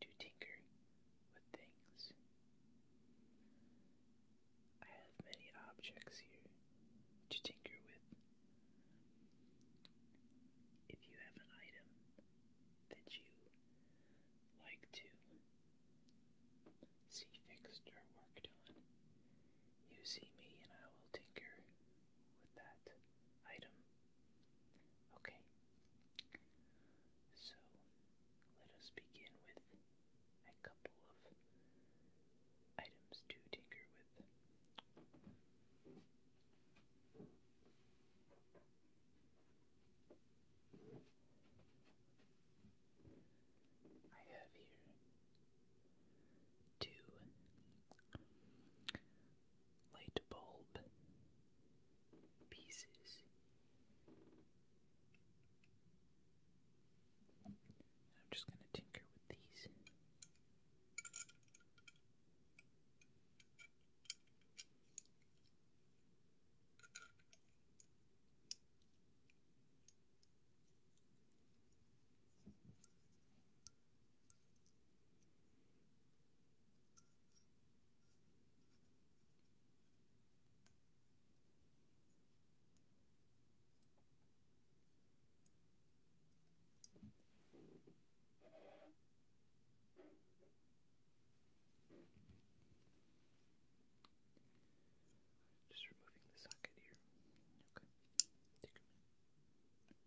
to tinker with things. I have many objects here to tinker with. If you have an item that you like to see fixed or worked on, you see me and I will tinker with that item. Okay, so let us begin with a couple of items to tinker with. I have here two light bulb pieces. I'm just going to tinker with these. Just removing the socket here. Okay. Take a minute.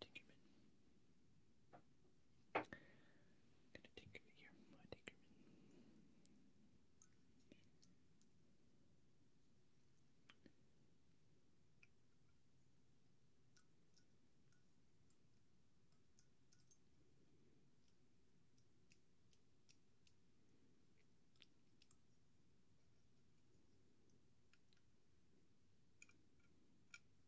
Tinkerman. Gonna tinker here, my Tinkerman. Tinkerman.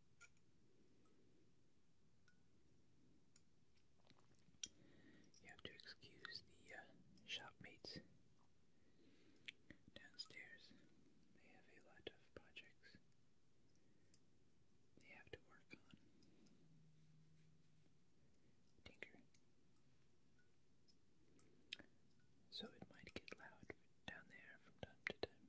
You have to excuse the uh, shopmates downstairs. They have a lot of projects they have to work on. Tinker. So it might get loud down there from time to time.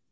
Tinker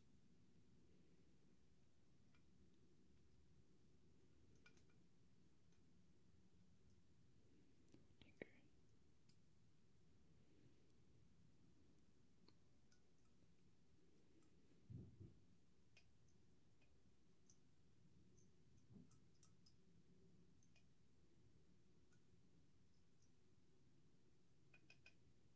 Tinker.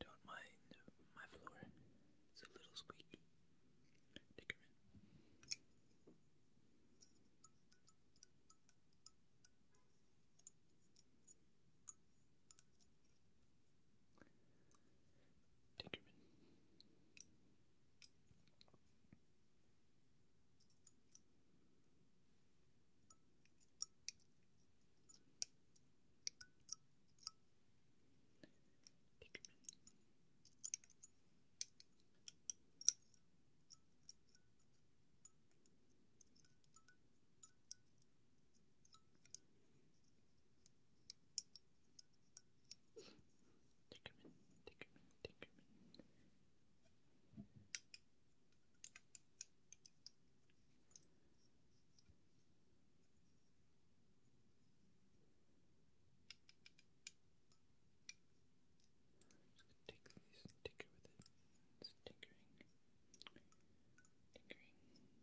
Don't mind my floor. It's a little squeaky. Dickerman. Dickerman. Tinkerman, Tinkerman, Tinkerman. Just take these and tinker with it. It's tinkering. Tinkering. Tinker.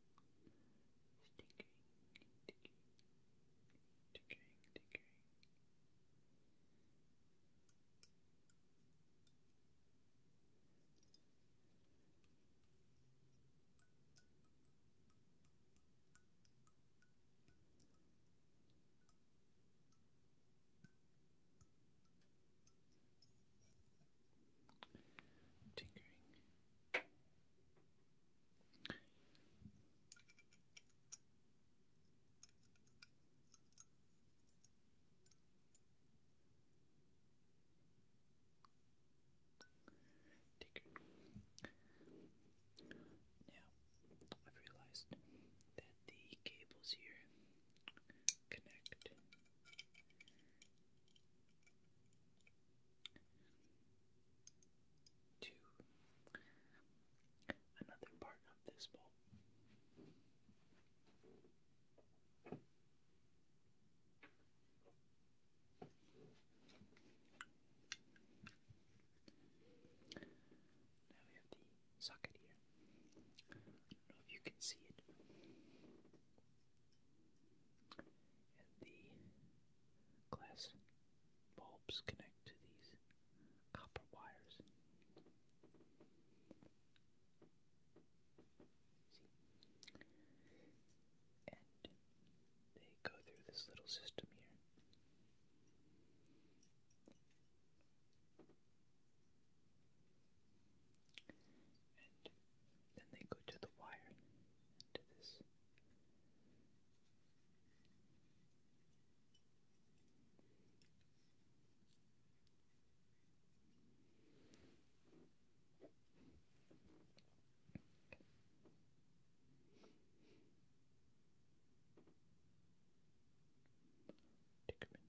Tickering, tickering, tickering, tickering. Tinkering, Take now, I've realized that the cables here connect to another part of this bowl. Now we have the socket here. I don't know if you can see it. And the glass bulbs connect to these copper wires. And they go through this little system here. And then they go to the wire, to this Dickerman, Dickerman, Dickerman,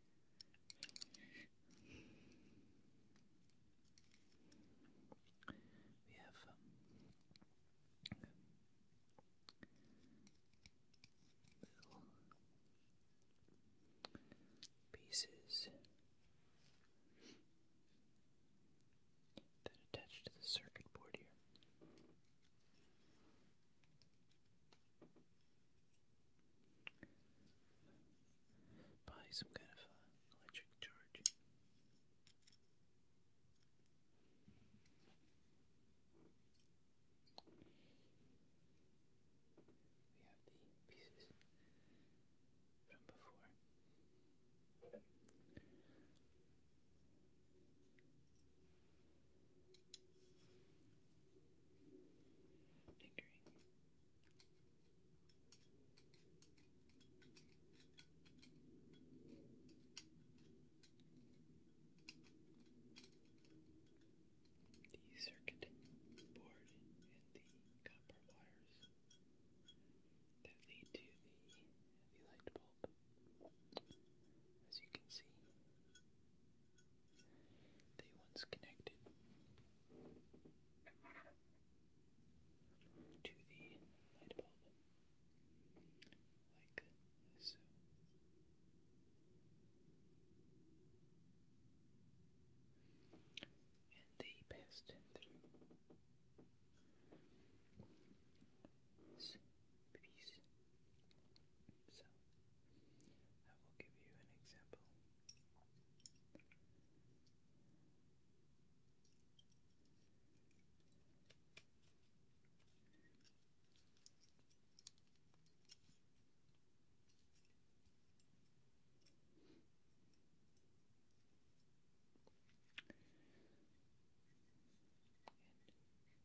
We have little um, pieces that attach to the circuit board here by some kind of uh, electric charge. We have the pieces from before. Tinkering. The circuit board and the copper wires that lead to the, light bulb. As you can see, they once connected to the light bulb, like uh, so. And they passed through this piece. So, I will give you an example. And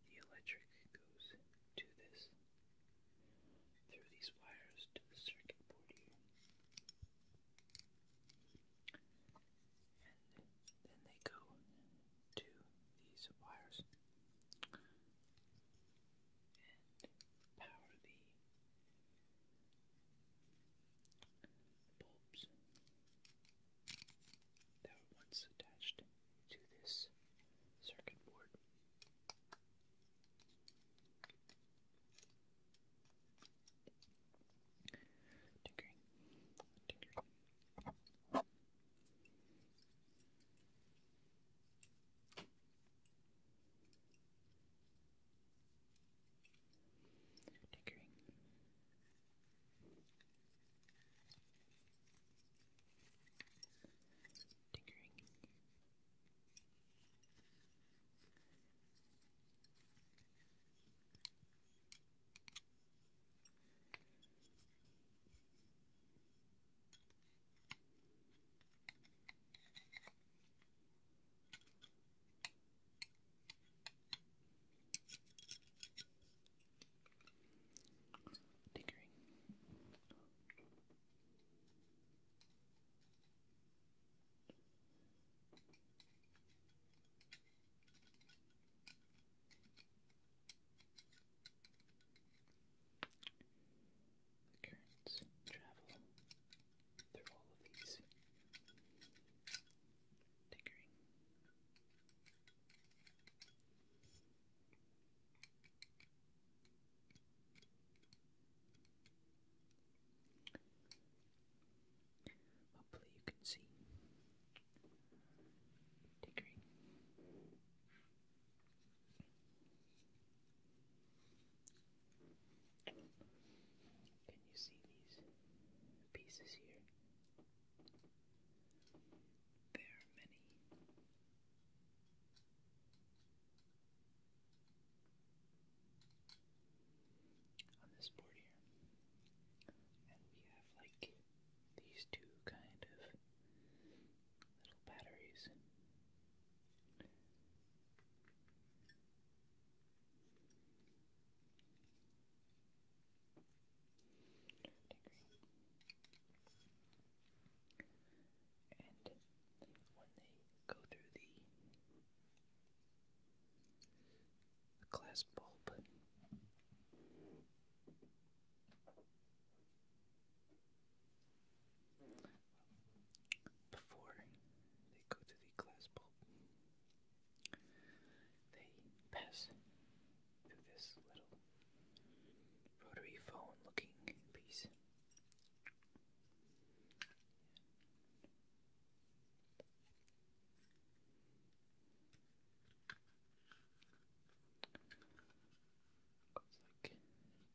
the electric goes to this through these wires to the circuit board here. And then they go to these wires and power the bulbs that were once attached to this circuit board. Tinker. Tinker. Tinkering. Tinkering. Tinkering. Tinkering. The currents travel through all of these, tinkering. Hopefully you can see. Tinkering. Can you see these pieces here? There are many on this board here. And we have like these two kind of little batteries and when they go through the, glass bulb, before they go through the glass bulb, they pass through this little rotary phone looking piece. Goes like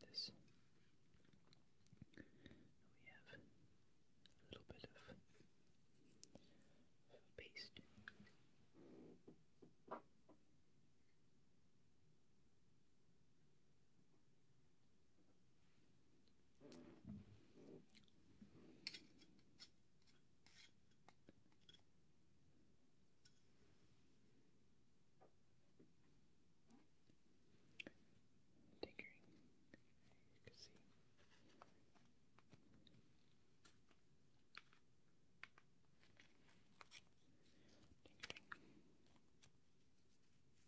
this. We have a little bit of paste. Tinkering, you can see. Tinkering.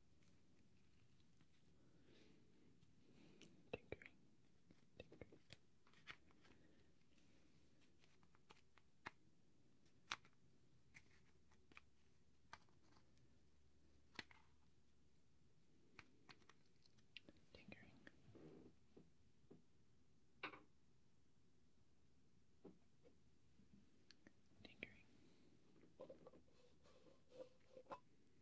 Tinkering, tinkering. Tinkering. Tinkering.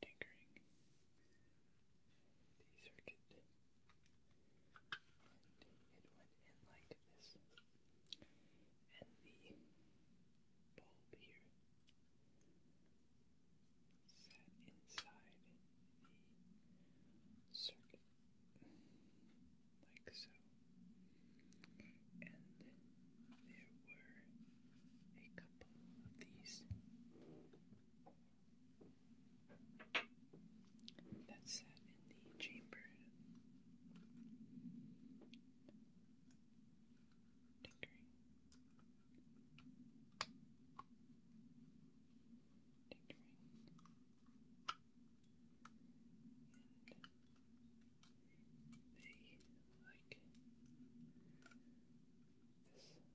Tinkering the circuit, it went in like this, and the bulb here sat inside the circuit like so. And there were a couple of these. That sat in the chamber. Tinkering. Tinkering they like this. And then the cap. Went over like this. And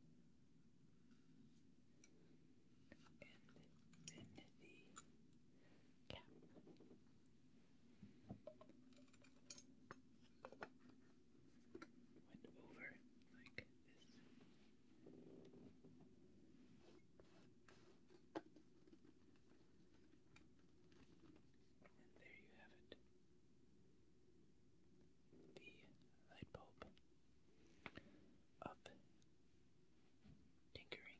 and there you have it. The light bulb of tinkering. Tinkering.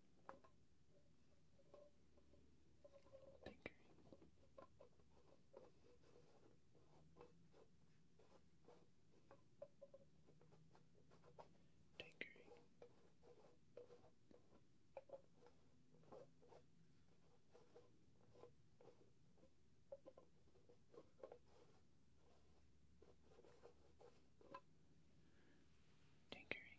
tinkering, tinkering tinkering. Tinkering.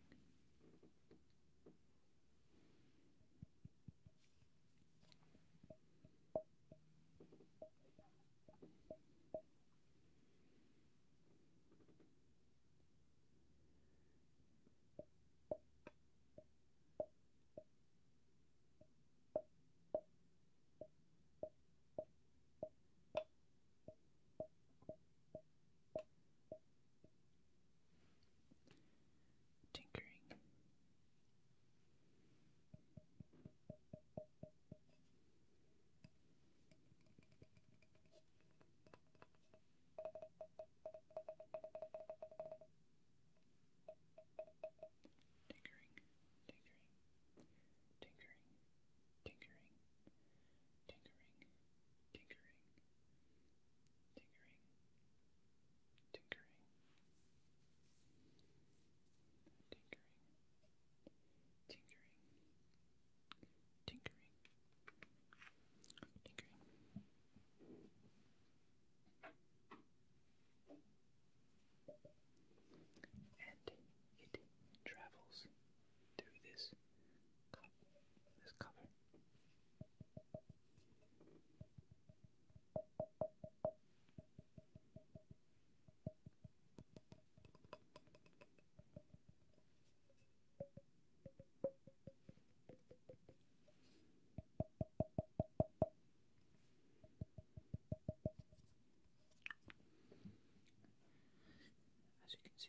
Tinkering. Tinkering, tinkering, tinkering, tinkering, tinkering, tinkering, tinkering, tinkering, tinkering, tinkering, tinkering, tinkering. And it travels through this this cover as you can see.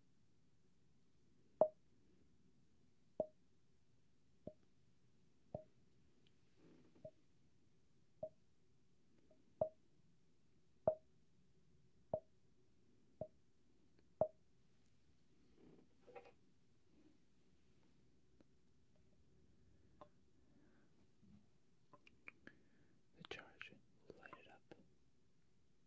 The charge will light it up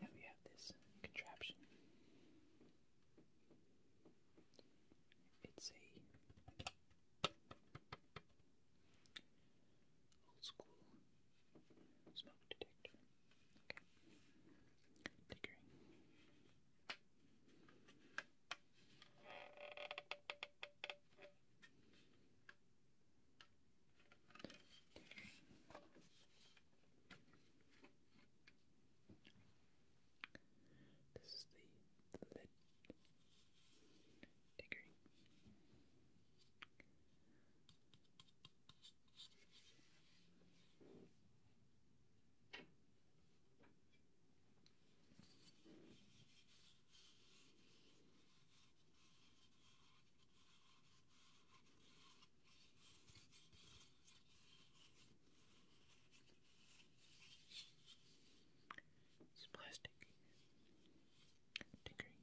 Now we have this contraption. It's a old school smoke detector. Okay. Tickering. This is the, lid degree. It's plastic. Tinkering. Tinkering.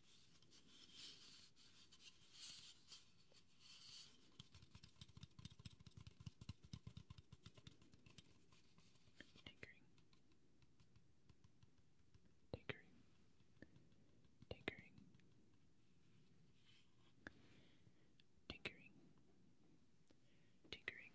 Tinkering. Tinkering. Tinkering. Tinkering. Tinkering. Tinkering.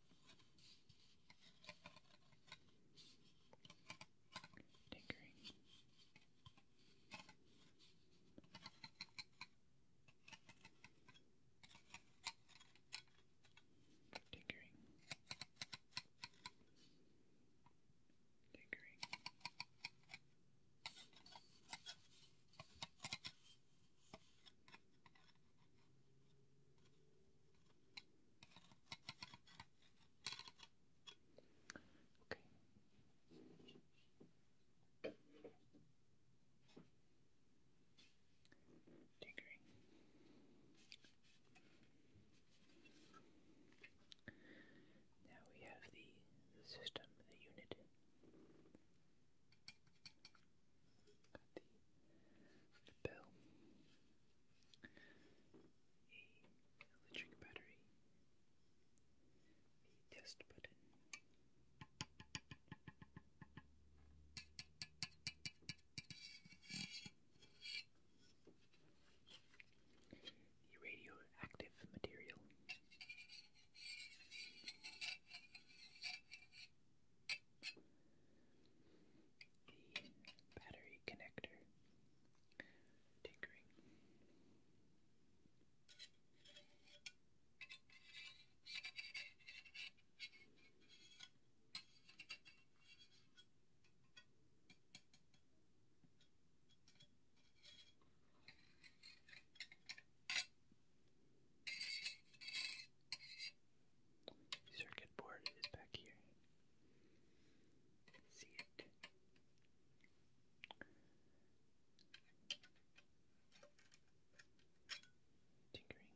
tinkering. Tinkering. Tinkering. Tinkering. Okay. Tinkering. Now we have the, system, the unit. the bell a electric battery, the test button, the radioactive material the battery connector tinkering. circuit board is back here see it. Tinkering. Tinkering.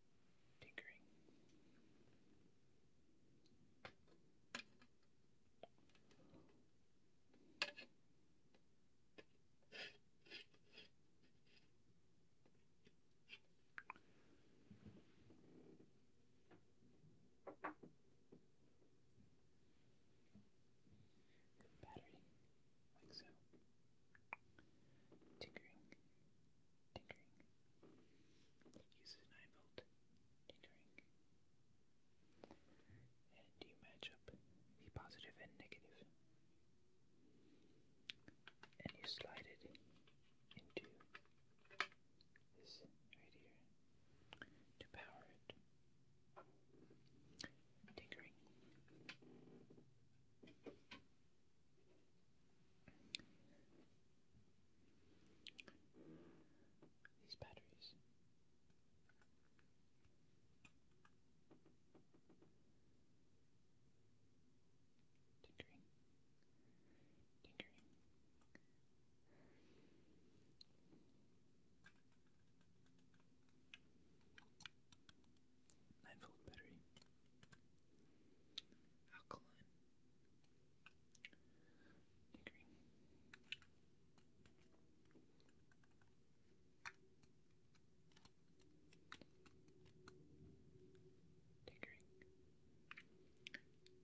tinkering. The battery, like so. Tinkering, tinkering. Use an eye bolt. Tinkering. And you match up the positive and And you slide it into this right here to power it. Tinkering. These batteries. Tinkering. Tinkering. 9 volt battery. Alkaline. Degree. Tinkering. Tinkering.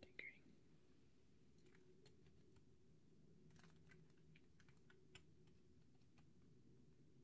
Tinkering.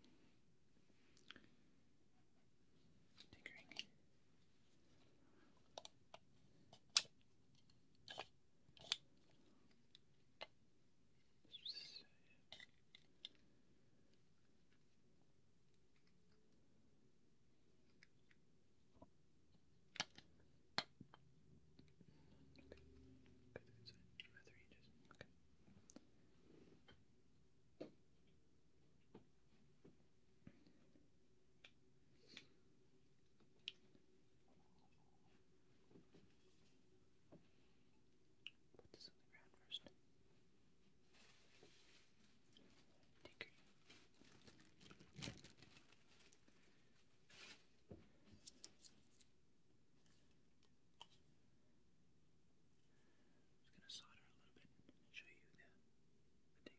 Tinkering. Okay. Good, good, good. About three inches. Okay. Put this on the ground first. Tinker. There just gonna solder a little bit and show you the, the thing.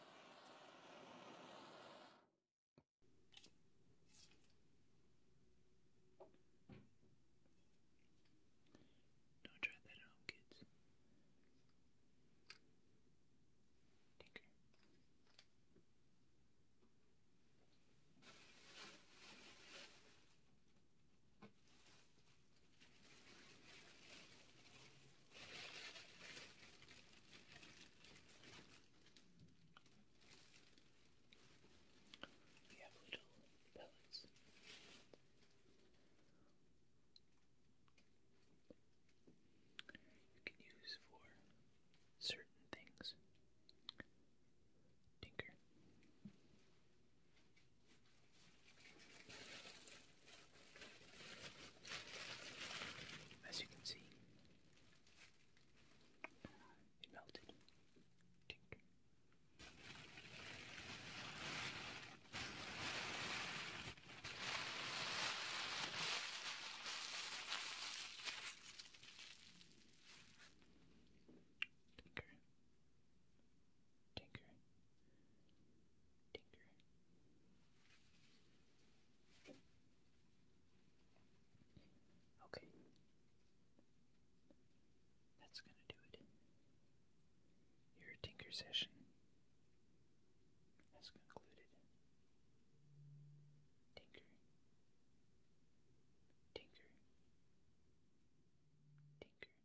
Don't try that at home, kids. Tinker. Tinker. We little pellets. You can use for certain things. Tinker. As you can see, it melted. Tink. Tinker, tinker, Tinker. Okay. That's going to do it. Your Tinker session has concluded. Tinker. Tinker. Tinker. Tinker.